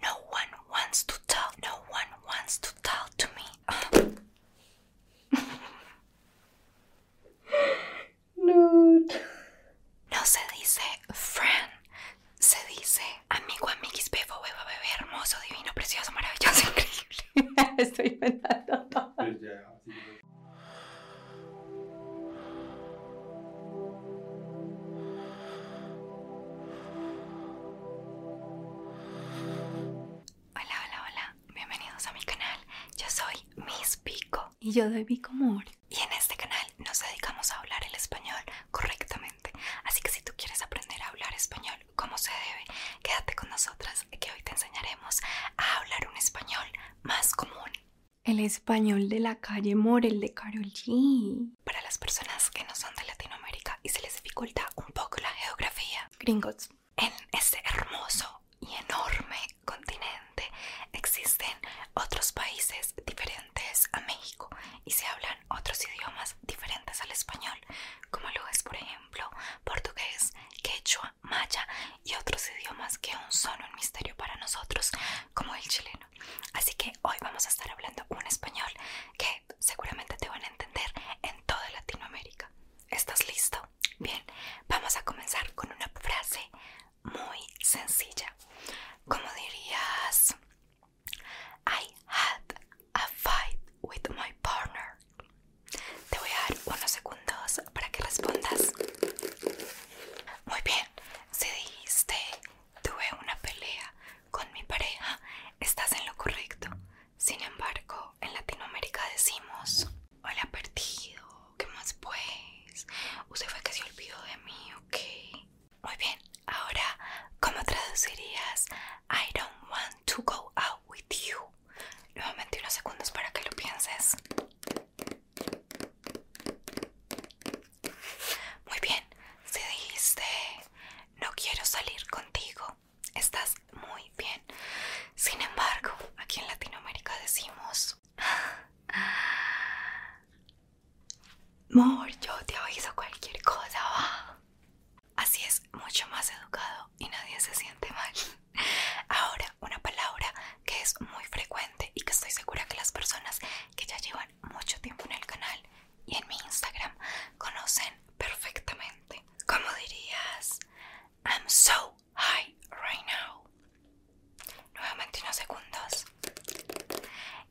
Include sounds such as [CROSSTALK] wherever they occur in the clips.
No one wants to talk. No one wants to talk to me. Nude. No se dice friend, se dice amigo, amiguis, bebo, beba, bebé, hermoso, divino, precioso, maravilloso, [LAUGHS] increíble. Estoy inventando Hola, hola, hola. Bienvenidos a mi canal. Yo soy Miss Pico. Y yo de Pico More. Y en este canal nos dedicamos a hablar el español correctamente. Así que si tú quieres aprender a hablar español como se debe, quédate con nosotras que hoy te enseñaremos a hablar un español más común. El español de la calle Morel de Carol Para las personas que no son de Latinoamérica y se les dificulta un poco la geografía, gringos, en ese hermoso y enorme continente existen otros países diferentes a México y se hablan otros idiomas diferentes al español, como lo es, por ejemplo, portugués, quechua, maya y otros idiomas que aún son un misterio para nosotros, como el chileno así que hoy vamos a estar hablando un español que seguramente te van a entender en toda Latinoamérica. ¿Estás listo? Bien, vamos a comenzar con una frase muy sencilla. ¿Cómo dirías, I had a fight with my partner. Te voy a dar unos segundos para que respondas. Muy bien, se si dijiste tuve una pelea con mi pareja, estás en lo correcto. Sin embargo, en Latinoamérica decimos, hola perdido, ¿qué más pues? Usted fue que se olvidó de mí, ¿ok? Muy bien, ahora, ¿cómo traducirías I don't want to go out with you? Nuevamente unos segundos para que lo pienses. Muy bien, si dijiste no quiero salir contigo, estás muy bien. Sin embargo, aquí en Latinoamérica decimos... Mor, yo te aviso cualquier cosa, Así es mucho más educado y nadie se siente mal. Ahora, una palabra que es muy frecuente y que estoy segura que las personas que ya llevan mucho tiempo en el canal y en mi Instagram conocen perfectamente. ¿Cómo dirías? I'm so high right now. Nuevamente unos segundos.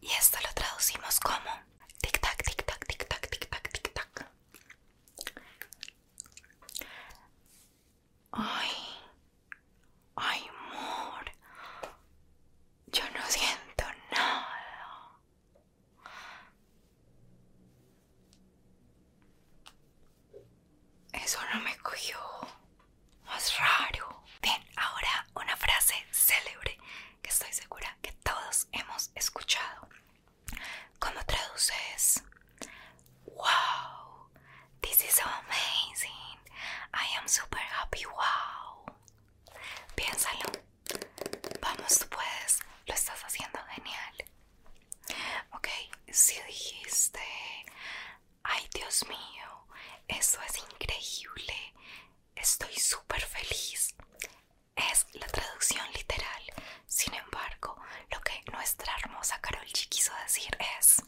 Y esto lo traducimos como tic tac, tic tac, tic tac, tic tac, tic tac. Ay, ay, amor, yo no siento nada. Eso no me cogió. Más raro. Bien, ahora una frase célebre que estoy segura que todos hemos escuchado. ¿Cómo traduces? Wow, this is amazing. I am super happy. Wow. Piénsalo. Vamos, pues Lo estás haciendo genial. Ok, si dijiste, ay Dios mío, esto es increíble. Estoy súper feliz. Es la traducción literal. Sin embargo, lo que nuestra hermosa Carol G quiso decir es: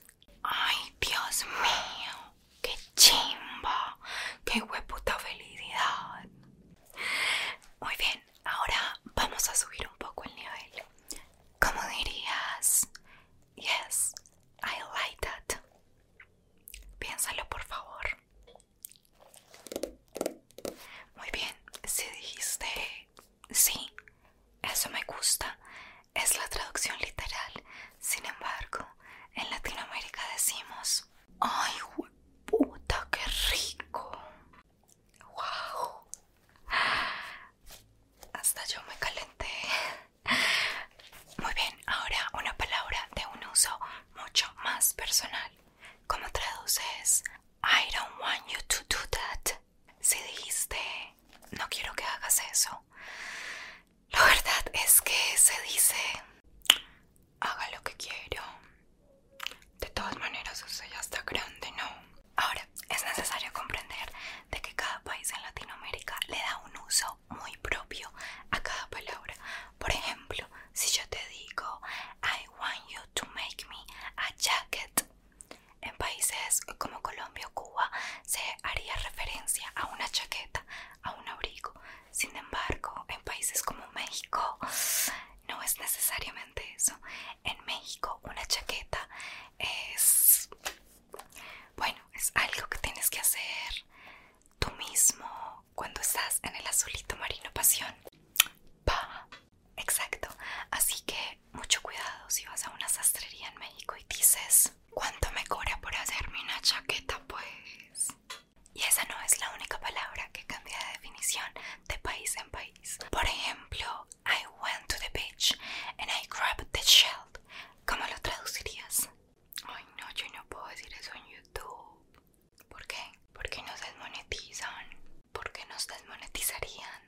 ¡Ay, Dios mío! ¡Qué chimba! ¡Qué hueputa felicidad! Muy bien, ahora vamos a subir un poco el nivel. ¿Cómo dirías? Yes, I like that. Piénsalo por favor. Muy bien, si dijiste sí, eso me gusta, es la traducción literal. Sin embargo, en Latinoamérica decimos, ay, puta, qué rico. Wow. Hasta yo me calenté. Muy bien, ahora una palabra de un uso mucho más personal. ¿Cómo traduces I don't want you to do that. Si dijiste, no quiero que hagas eso. La verdad es que se dice, haga lo que quiero. De todas maneras, usted ya está grande, ¿no? Ahora, es necesario comprender de que cada país en Latinoamérica le da un uso muy propio a cada palabra. Por ejemplo, si yo te digo, I want you to make me a jacket, en países como Colombia o Cuba se haría referencia a una chaqueta, a un abrigo. Sin embargo, en países como México no es necesariamente eso. En México una chaqueta es, bueno, es algo que tienes que hacer tú mismo cuando estás en el azulito marino pasión. Pa. Exacto. Así que mucho cuidado si vas a una sastrería en México y dices, ¿cuánto me cobra por hacerme una chaqueta pues? Y esa no es la única palabra que cambia de definición de país en país. Por ejemplo, I went to the beach and I grabbed the shell. ¿Cómo lo traducirías? Ay no, yo no puedo decir eso en YouTube. ¿Por qué? Porque nos desmonetizan. ¿Por qué nos desmonetizarían?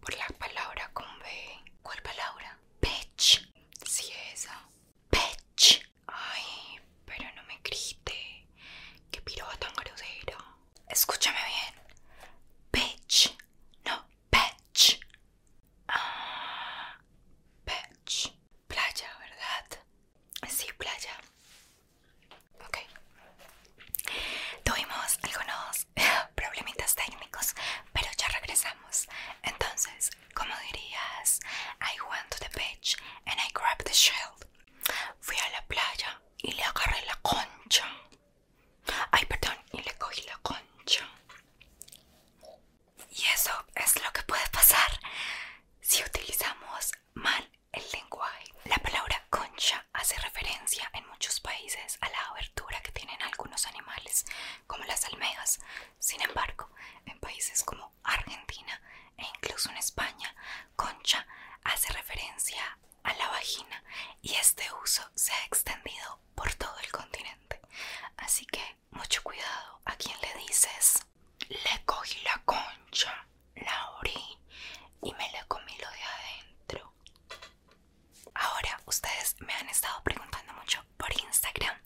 Por la palabra con B. ¿Cuál palabra? Bitch. Sí, esa. Bitch. Ay, pero no me grite. Qué piroba tan grosero. Escúchame bien. Bitch. No, bitch. Ah, bitch. Playa, ¿verdad? Sí, playa. Ok. Tuvimos algunos [LAUGHS] problemitas técnicos, pero ya regresamos. Entonces, como dirías, I went to the beach and I grabbed the shell. Fui a la playa y le agarré la concha. Ay, perdón, y le cogí la concha. Y eso es lo que puede pasar si utilizamos mal el lenguaje. La palabra concha hace referencia en muchos países a la abertura que tienen algunos animales, como las almejas. Sin embargo, en países como Argentina e incluso en España, concha hace referencia a la vagina y este uso se ha extendido por todo el continente. Así que mucho cuidado a quien le dices. Le cogí la concha, la abrí y me la comí lo de adentro. Ahora, ustedes me han estado preguntando mucho por Instagram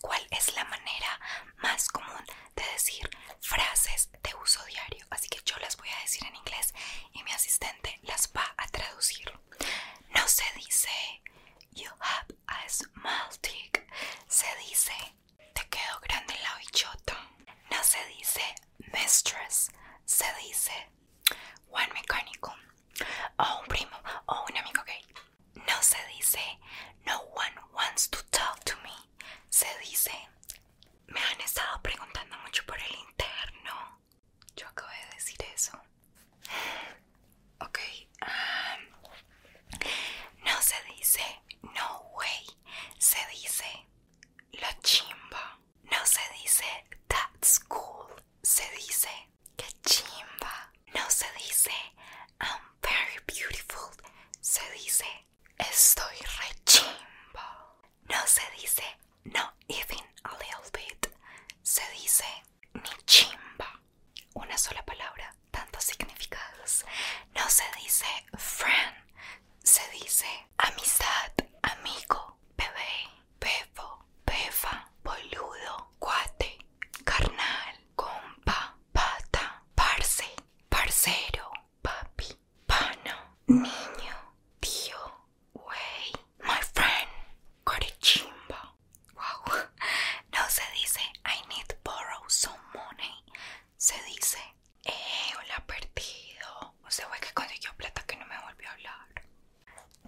cuál es la manera más común de decir frases de uso diario. Así que yo las voy a decir en inglés y mi asistente las va a traducir. No se dice You have a small tick. Se dice, te quedo grande la bichota. No se dice mistress. Se dice one mecánico O un primo o un amigo gay. No se dice no one wants to talk to me. Se dice, me han estado preguntando mucho por el interno. Yo acabo de decir eso. Ok. no se dice no way. Se dice lo chimba. No se dice that's cool. Se dice que chimba. No se dice I'm very beautiful. Se dice estoy re chimba. No se dice no even a little bit. Se dice Mi chimba. Una sola palabra, tantos significados. No se dice friend. Se dice amistad, amigo, bebé, bebo, befa, boludo, cuate, carnal, compa, pata, parce, parcero, papi, pano, niño, tío, Wey, my friend, Chimba. Wow, no se dice I need borrow some money. Se dice, eh, hola perdido. O se wey, que consiguió plata que no me volvió a hablar.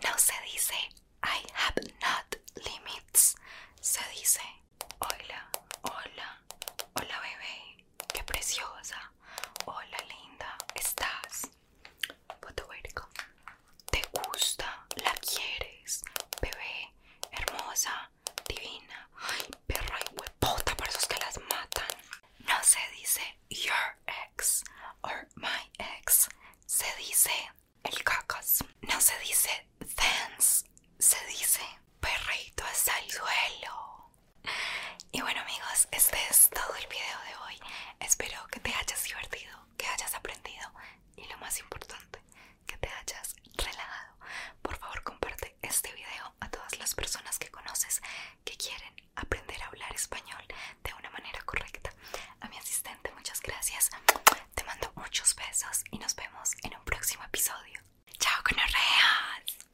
No se dice I have not limits. Se dice, hola, hola, hola bebé, qué preciosa. Hola linda, ¿estás? ¿Te gusta? ¿La quieres? Bebé, hermosa, divina. Ay, perra y huepota para esos que las matan. No se dice your ex or my ex. Se dice el cacas. No se dice dance. Se dice perrito hasta el duelo. Y bueno amigos, este es todo el video de hoy. Espero que te hayas divertido, que hayas aprendido y lo más importante, que te hayas relajado. Por favor comparte este video a todas las personas que conoces que quieren aprender a hablar español de una manera correcta. A mi asistente, muchas gracias. Te mando muchos besos y nos vemos en un próximo episodio. ¡Chao, conorreas!